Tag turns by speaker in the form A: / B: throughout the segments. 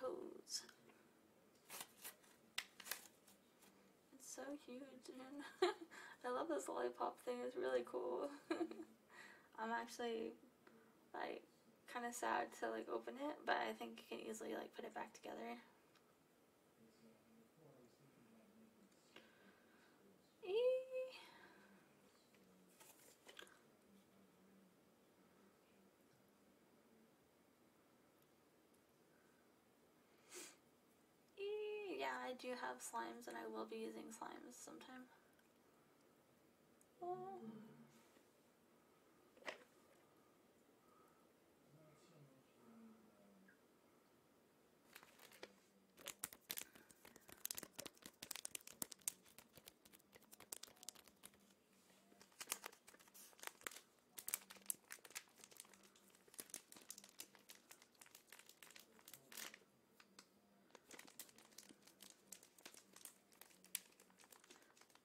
A: pose. It's so huge and I love this lollipop thing, it's really cool. I'm actually like kind of sad to like open it, but I think you can easily like put it back together. Eee yeah, I do have slimes and I will be using slimes sometime.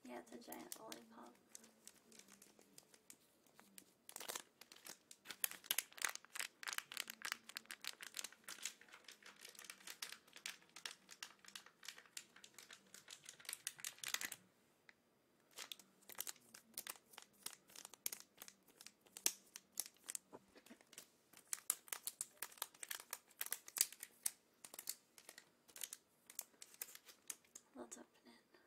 A: Yeah, it's a giant lollipop. Let's open it.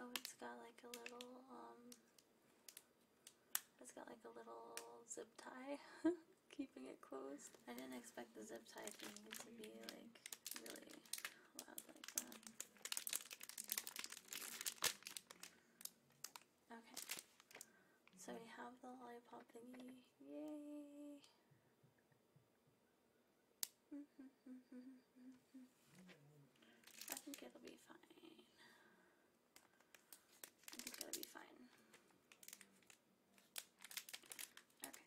A: Oh, it's got like a little, um, it's got like a little zip tie keeping it closed. I didn't expect the zip tie thing to be like really loud like that. Okay, so we have the lollipop thingy, yay! I think it'll be fine. I think it'll be fine. Okay.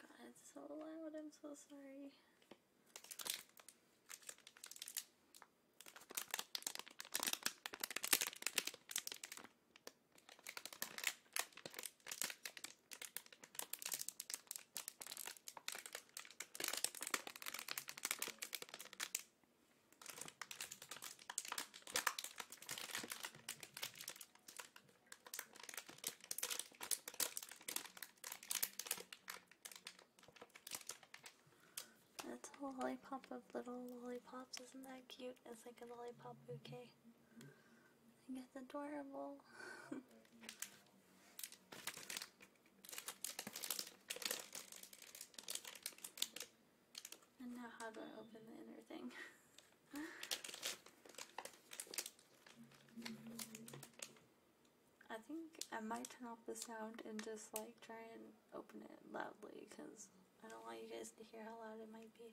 A: God, it's so loud. I'm so sorry. That's a lollipop of little lollipops. Isn't that cute? It's like a lollipop bouquet. I think it's adorable. And now how do I open the inner thing? I think I might turn off the sound and just like try and open it loudly because I don't want you guys to hear how loud it might be.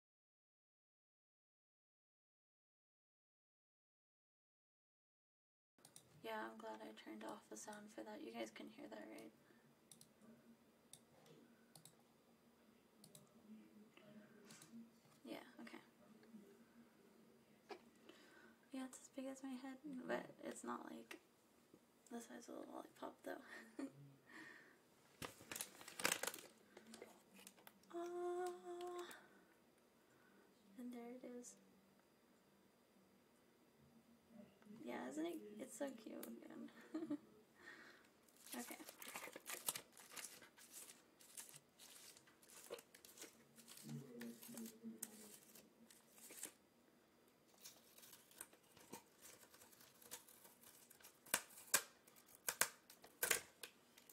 A: Yeah, I'm glad I turned off the sound for that. You guys can hear that, right? Yeah, okay. Yeah, it's as big as my head, but it's not like the size of a lollipop though. uh, And there it is. Yeah, isn't it? It's so cute again. okay.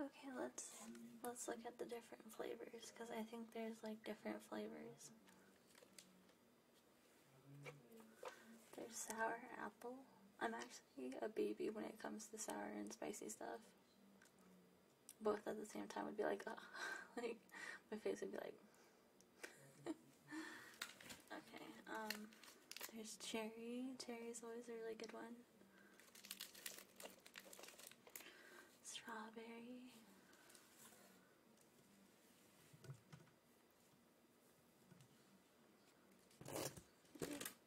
A: Okay, let's let's look at the different flavors because I think there's like different flavors. There's sour apple. I'm actually a baby when it comes to sour and spicy stuff. Both at the same time would be like, like my face would be like, okay, um, there's cherry. Cherry is always a really good one. Strawberry.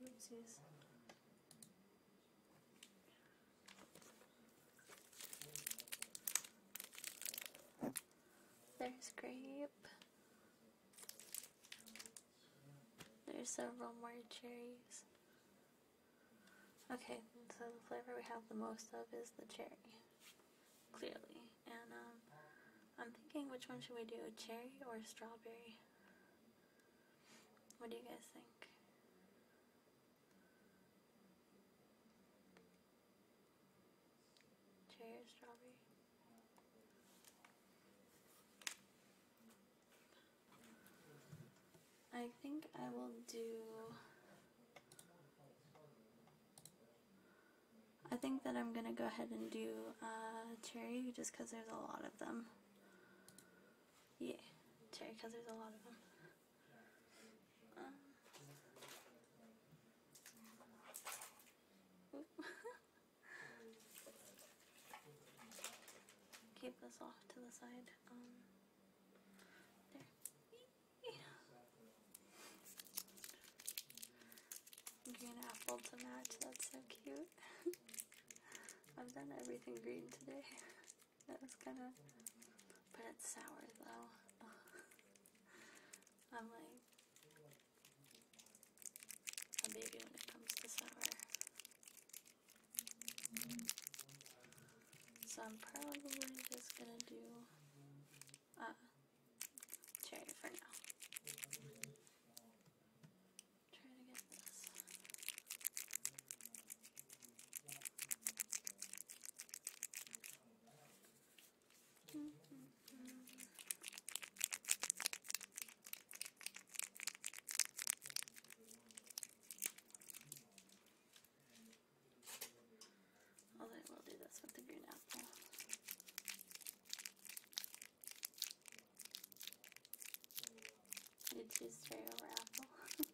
A: Oopsies. There's grape. There's several more cherries. Okay, so the flavor we have the most of is the cherry, clearly. And um, I'm thinking which one should we do, a cherry or a strawberry? What do you guys think? cherry strawberry. I think I will do... I think that I'm going to go ahead and do uh, cherry just because there's a lot of them. Yeah, cherry because there's a lot of them. Um, Keep this off to the side. Um, green apple match, that's so cute. I've done everything green today. that was kind of... But it's sour though. I'm like, a baby when it comes to summer. So I'm probably just gonna do uh, cherry for now. Try to get this. Although I will do this with the green apple. I did choose cherry over apple.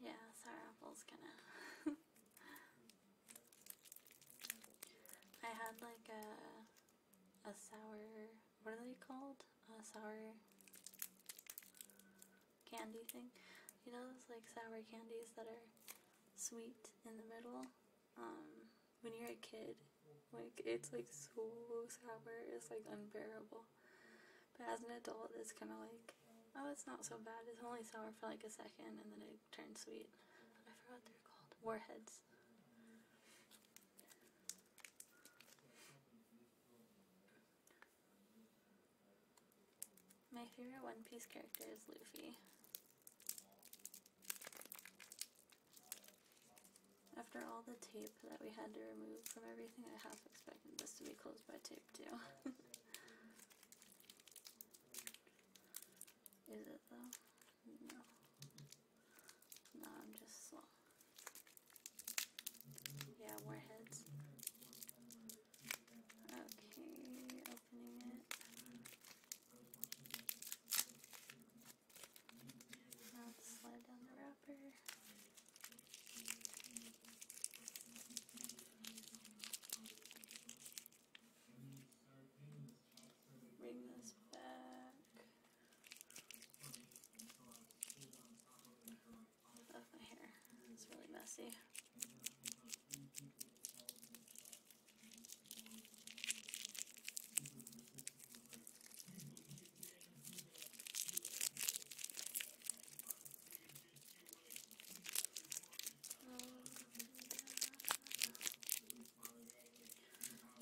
A: Yeah, sour Apple's kind of. I had like a a sour. What are they called? A sour candy thing. You know those like sour candies that are sweet in the middle. Um, when you're a kid, like it's like so sour, it's like unbearable. But as an adult, it's kind of like, oh, it's not so bad. It's only sour for like a second, and then it turns sweet. I forgot they're called warheads. My favorite One Piece character is Luffy. After all the that we had to remove from everything. I half expected this to be closed by tape too. Is it though? No. No, I'm just slow. Yeah, warheads. Okay, opening it. Now slide down the wrapper. Bring this back. Oh, my hair. It's really messy.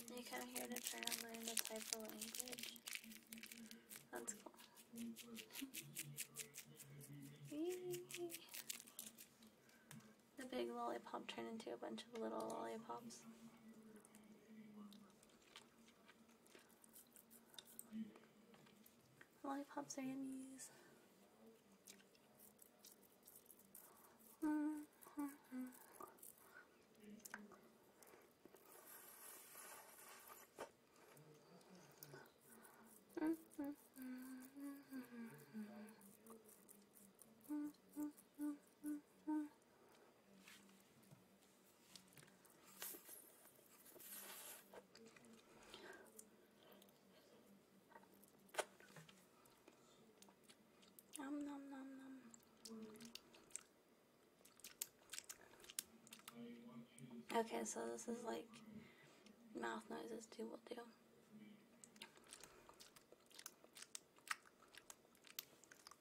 A: They come here to try to learn the type of language. That's cool. the big lollipop turned into a bunch of little lollipops. Lollipops are yummies. Okay, so this is like mouth noises do will do.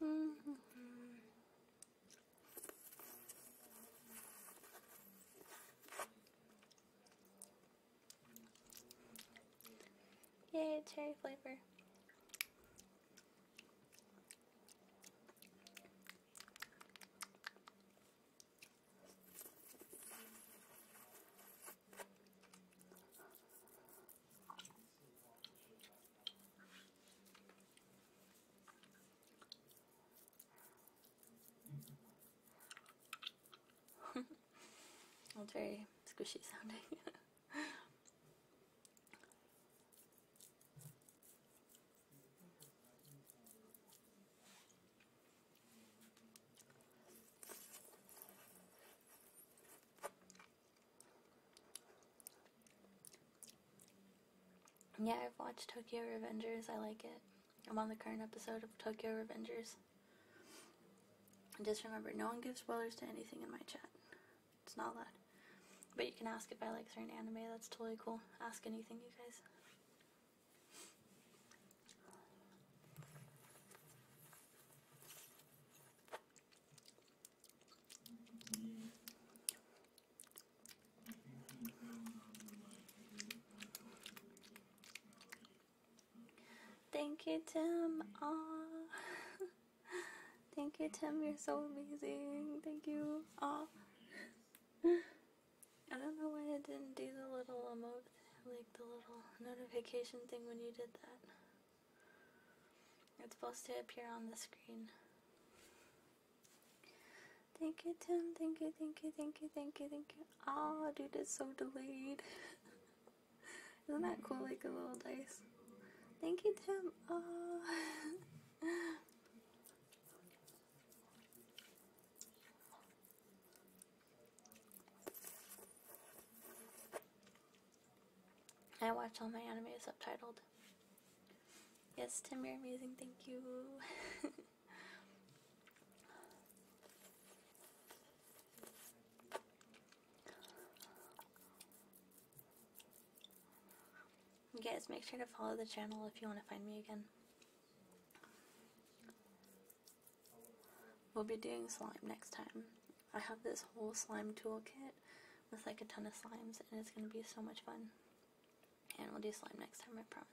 A: Mm-hmm. Yay, cherry flavor. That's very squishy sounding. Yeah, I've watched Tokyo Revengers. I like it. I'm on the current episode of Tokyo Revengers. And just remember, no one gives spoilers to anything in my chat. It's not allowed. But you can ask if I like certain anime. That's totally cool. Ask anything, you guys. Thank you, Tim. Aww. Thank you, Tim. You're so amazing. Thank you. Aww. I don't know why I didn't do the little emote, like the little notification thing when you did that. It's supposed to appear on the screen. Thank you, Tim. Thank you, thank you, thank you, thank you, thank you. Oh, dude, it's so delayed. Isn't that cool? Like a little dice. Thank you, Tim. Oh. I watch all my anime subtitled. Yes, Tim, you're amazing. Thank you. you guys, make sure to follow the channel if you want to find me again. We'll be doing slime next time. I have this whole slime toolkit with like a ton of slimes and it's going to be so much fun. And we'll do slime next time, I promise.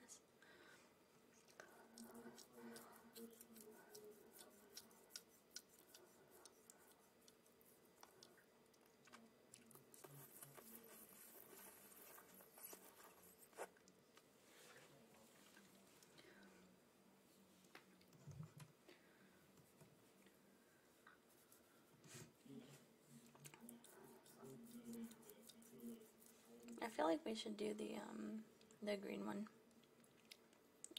A: I feel like we should do the um the green one.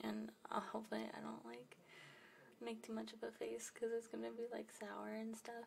A: And uh, hopefully I don't like make too much of a face cuz it's going to be like sour and stuff.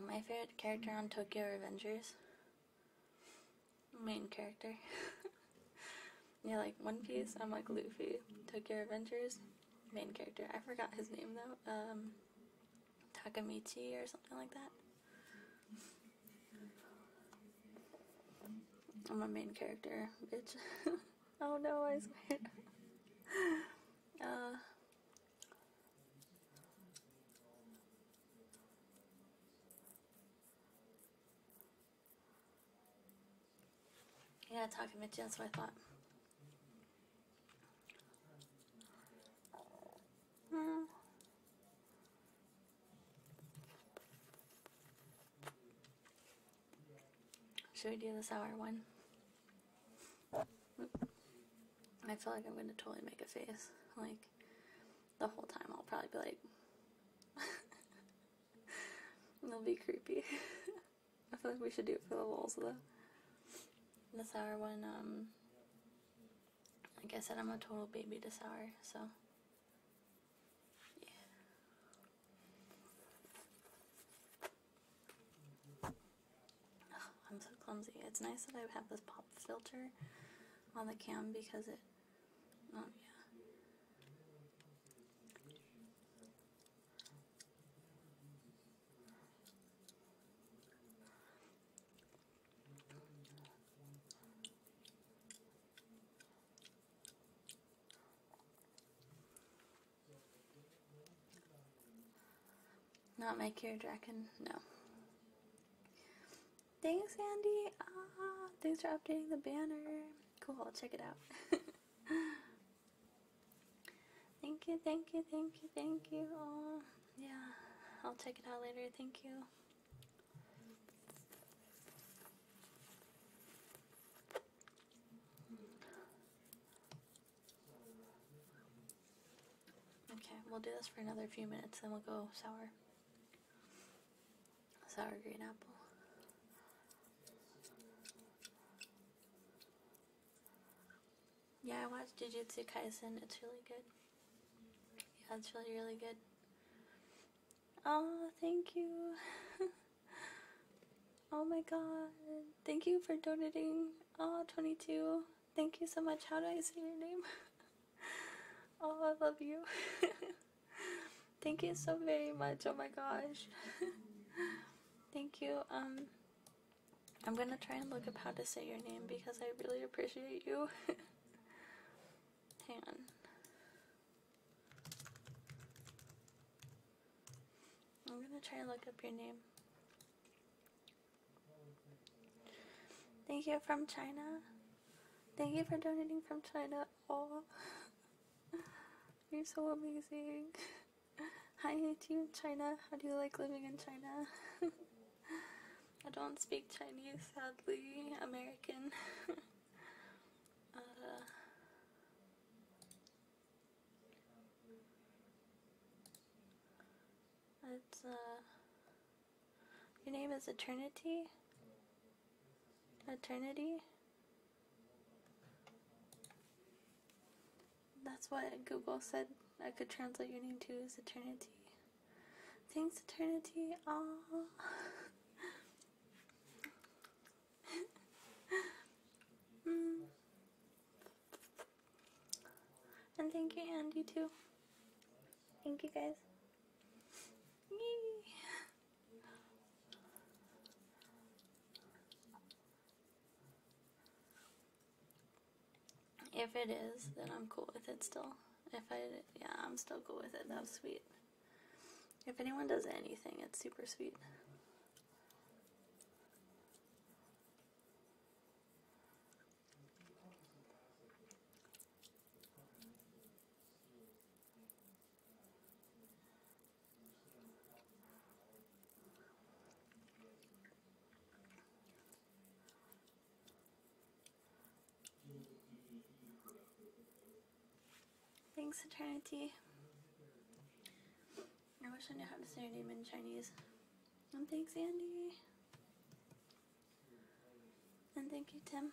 A: My favorite character on Tokyo Avengers. Main character. yeah, like One Piece, I'm like Luffy. Tokyo Avengers. main character. I forgot his name though. Um, Takamichi or something like that. I'm a main character, bitch. Oh no, I squint. yeah, uh, talking to Jen, so I thought. Mm. Should we do the sour one? I feel like I'm gonna totally make a face. Like, the whole time I'll probably be like, it'll be creepy. I feel like we should do it for the lulz though. The sour one, um, like I said, I'm a total baby to sour, so. Yeah. I'm so clumsy. It's nice that I have this pop filter on the cam because it. Oh, yeah. Not my care dragon? No. Thanks, Andy. Ah, thanks for updating the banner. Cool, I'll check it out. thank you, thank you, thank you, thank you. Oh, yeah, I'll check it out later. Thank you. Okay, we'll do this for another few minutes, then we'll go sour. Sour green apple. Yeah, I watched Jujutsu Kaisen. It's really good. Yeah, it's really, really good. Oh, thank you. Oh my god. Thank you for donating. Oh, 22. Thank you so much. How do I say your name? oh, I love you. Thank you so very much. Oh my gosh. Thank you. Um I'm going to try and look up how to say your name because I really appreciate you. Hang on. I'm going to try and look up your name. Thank you from China. Thank you for donating from China. Oh, you're so amazing. Hi, Team China. How do you like living in China? I don't speak Chinese, sadly. American. uh, that's, uh, your name is Eternity? Eternity? That's what Google said I could translate your name to is Eternity. Thanks, Eternity. Aww. Mm. And thank you, Andy, too. Thank you, guys. If it is, then I'm cool with it still. If I, yeah, I'm still cool with it. That was sweet. If anyone does anything, it's super sweet. Thanks, Eternity. I wish I knew how to say your name in Chinese. thanks, Andy. And thank you, Tim.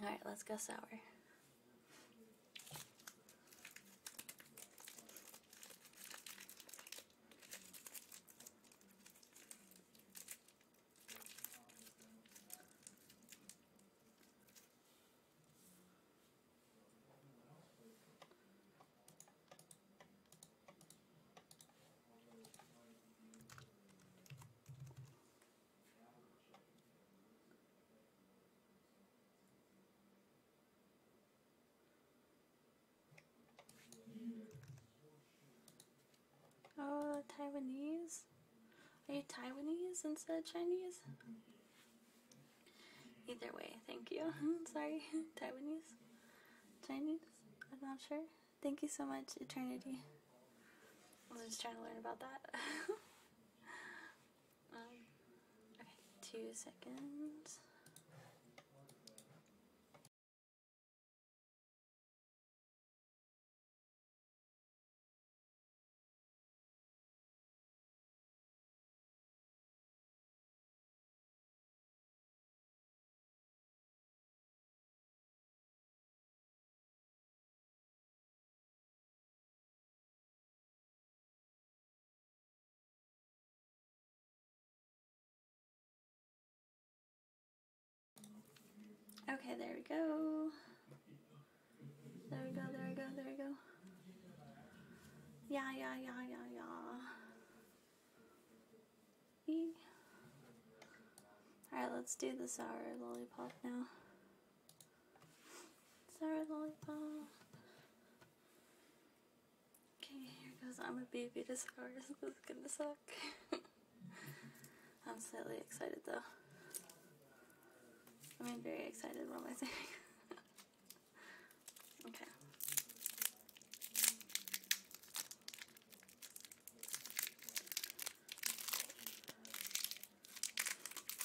A: All right, let's go sour. Oh, Taiwanese? Are you Taiwanese instead of Chinese? Either way, thank you. Sorry, Taiwanese? Chinese? I'm not sure. Thank you so much, Eternity. I was just trying to learn about that. Um, okay, two seconds. Okay, there we go. There we go, there we go, there we go. Yeah, yeah, yeah, yeah, yeah. Alright, let's do the sour lollipop now. Sarah Lollipop. Okay, here goes I'm a baby This scars. is gonna suck. I'm slightly excited though. I am very excited, what am I saying? okay.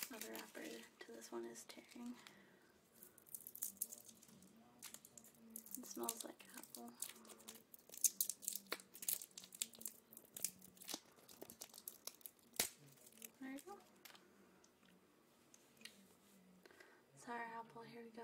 A: Another wrapper to this one is tearing. It smells like apple. There we go. Sour apple, here we go.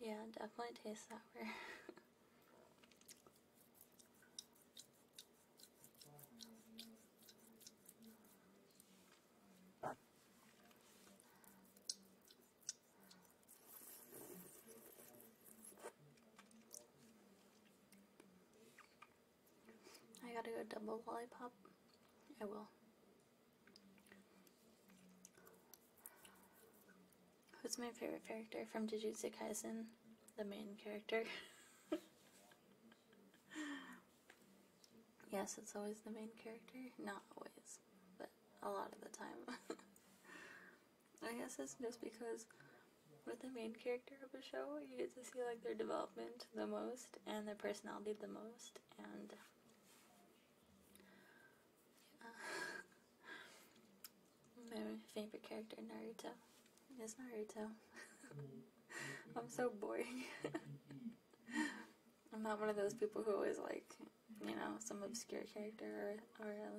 A: Yeah, definitely tastes sour.
B: I gotta go double lollipop.
A: I will. Who's my favorite character from Jujutsu Kaisen? The main character. yes, it's always the main character. Not always, but a lot of the time. I guess it's just because with the main character of a show, you get to see like their development the most and their personality the most, and my favorite character Naruto is Naruto. I'm so boring. I'm not one of those people who always like, you know, some obscure character or, or a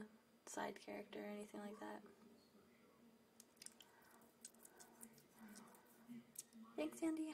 A: side character or anything like that. Thanks, Andy.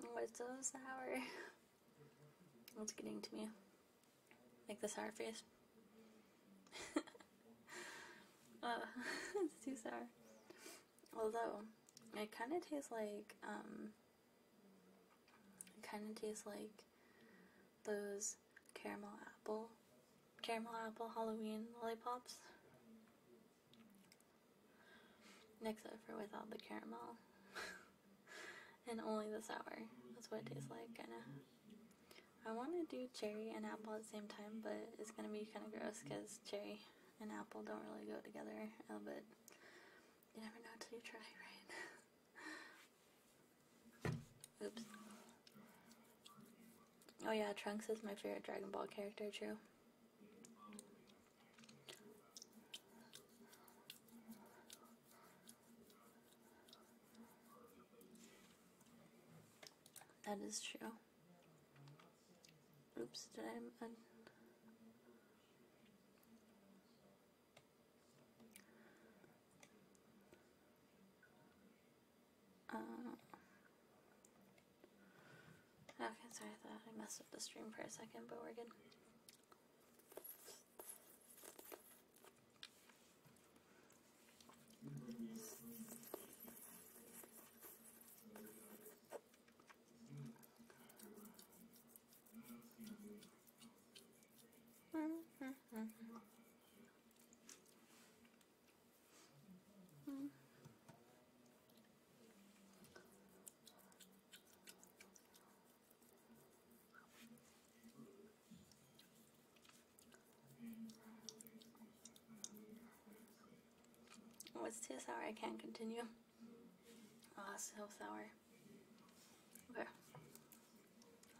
A: What oh, is so sour? What's getting to me? Like the sour face? uh, it's too sour. Although, it kind of tastes like, um, it kind of tastes like those caramel apple, caramel apple Halloween lollipops. Next over with all the caramel. and only the sour. That's what it tastes like, kinda. I want to do cherry and apple at the same time, but it's gonna be kinda gross because cherry and apple don't really go together, but you never know until you try, right? Oops. Oh yeah, Trunks is my favorite Dragon Ball character, true. That is true. Oops, did I? Un uh, Okay, sorry, I messed up the stream for a second, but we're good. Oh, it's too sour. I can't continue. oh, so sour. Okay.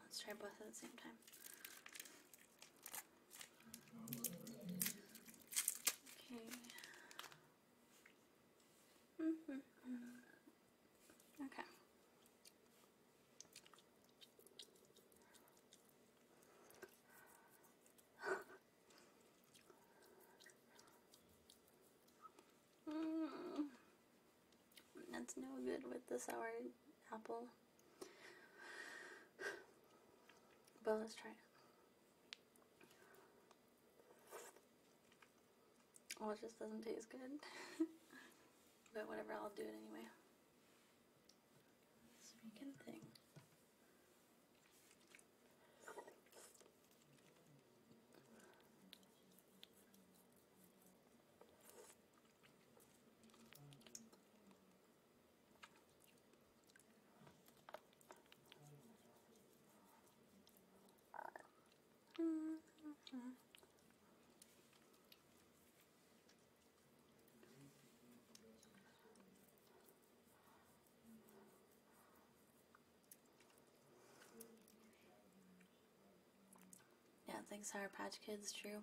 A: Let's try both at the same time. Okay. Mm-hmm. Mm -hmm. That's no good with the sour apple. But let's try it. Well, it just doesn't taste good. but whatever, I'll do it anyway. This thing. Mm -hmm. Yeah, thanks, Sour Patch Kids, true.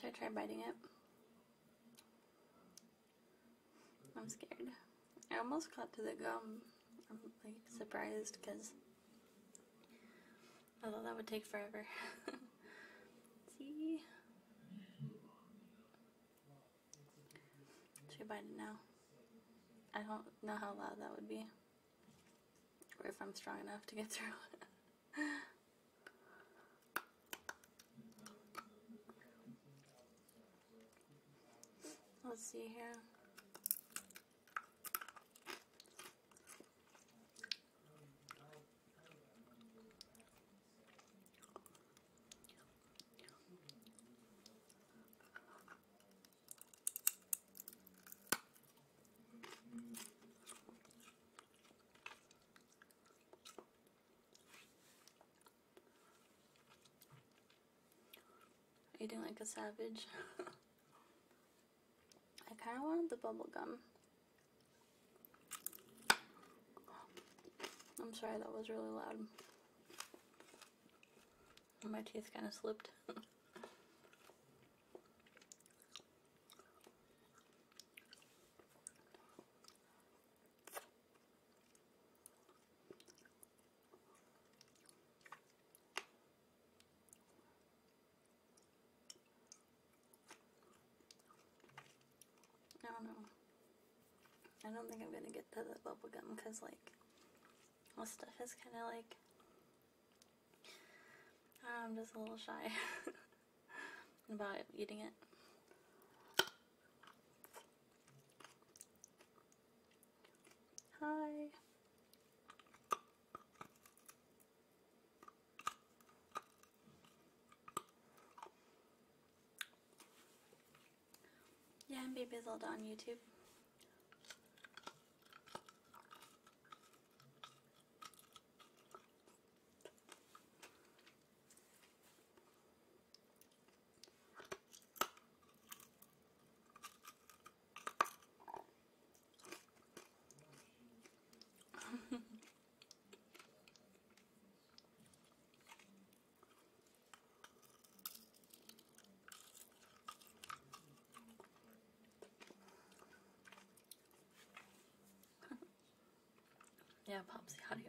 B: Should I try biting it?
A: I'm scared. I almost got to the gum. I'm like surprised because I thought that would take forever. See? Should bite it now. I don't know how loud that would be. Or if I'm strong enough to get through it. Let's see here. Eating like a savage. I kind of wanted the bubble gum. I'm sorry, that was really loud. My teeth kind of slipped. I don't know. I don't think I'm gonna get to the bubble gum because like this stuff is kind of like I'm just a little shy about eating it. Hi. Yeah, I'm Be Bizzled on YouTube. yeah, Popsy, how do you?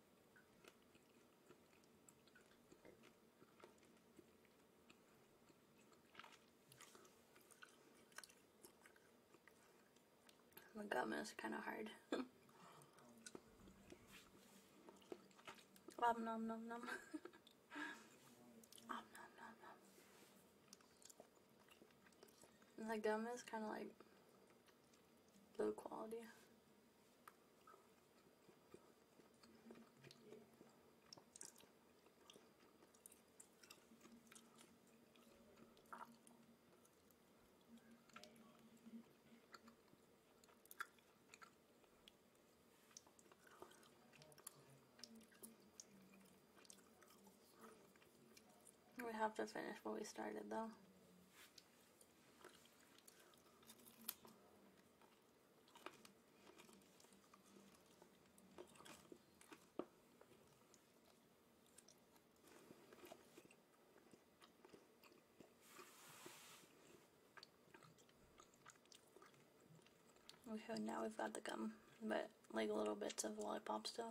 A: The gum is kind of hard. Om nom nom nom. Om nom nom nom. The gum is kind of like low quality. We have to finish what we started though. Okay, now we've got the gum, but like little bits of lollipop still.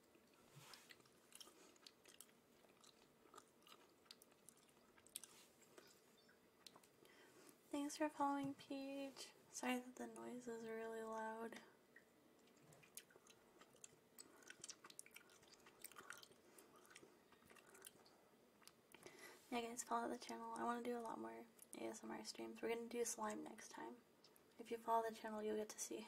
A: Thanks for following, Peach. Sorry that the noise is really loud. Yeah, guys, follow the channel. I want to do a lot more ASMR streams. We're going to do slime next time. If you follow the channel, you'll get to see.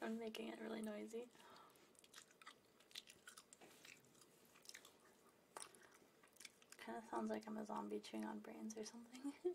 A: I'm making it really noisy. Kind of sounds like I'm a zombie chewing on brains or something.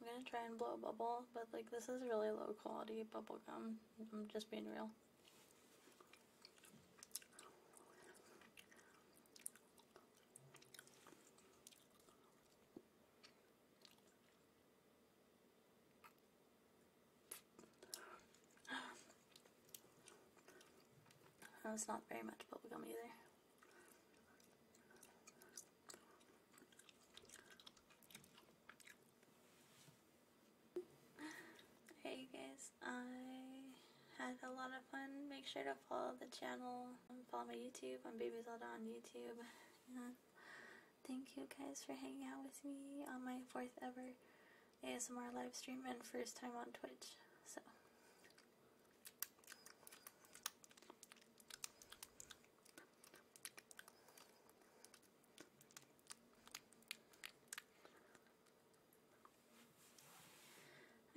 A: I'm gonna try and blow a bubble, but like this is really low quality bubble gum. I'm just being real. It's not very much bubblegum either. Hey guys, I had a lot of fun. Make sure to follow the channel. Follow my YouTube. I'm Baby Zelda on YouTube. thank you guys for hanging out with me on my fourth ever ASMR live stream and first time on Twitch. So.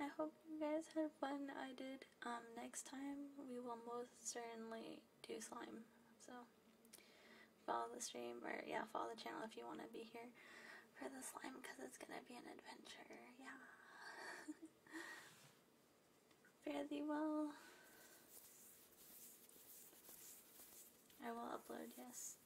A: I hope you guys had fun. I did. Um, next time we will most certainly do slime. So follow the stream or yeah, follow the channel if you want to be here for the slime because it's gonna be an adventure. Yeah. thee well. I will upload, yes.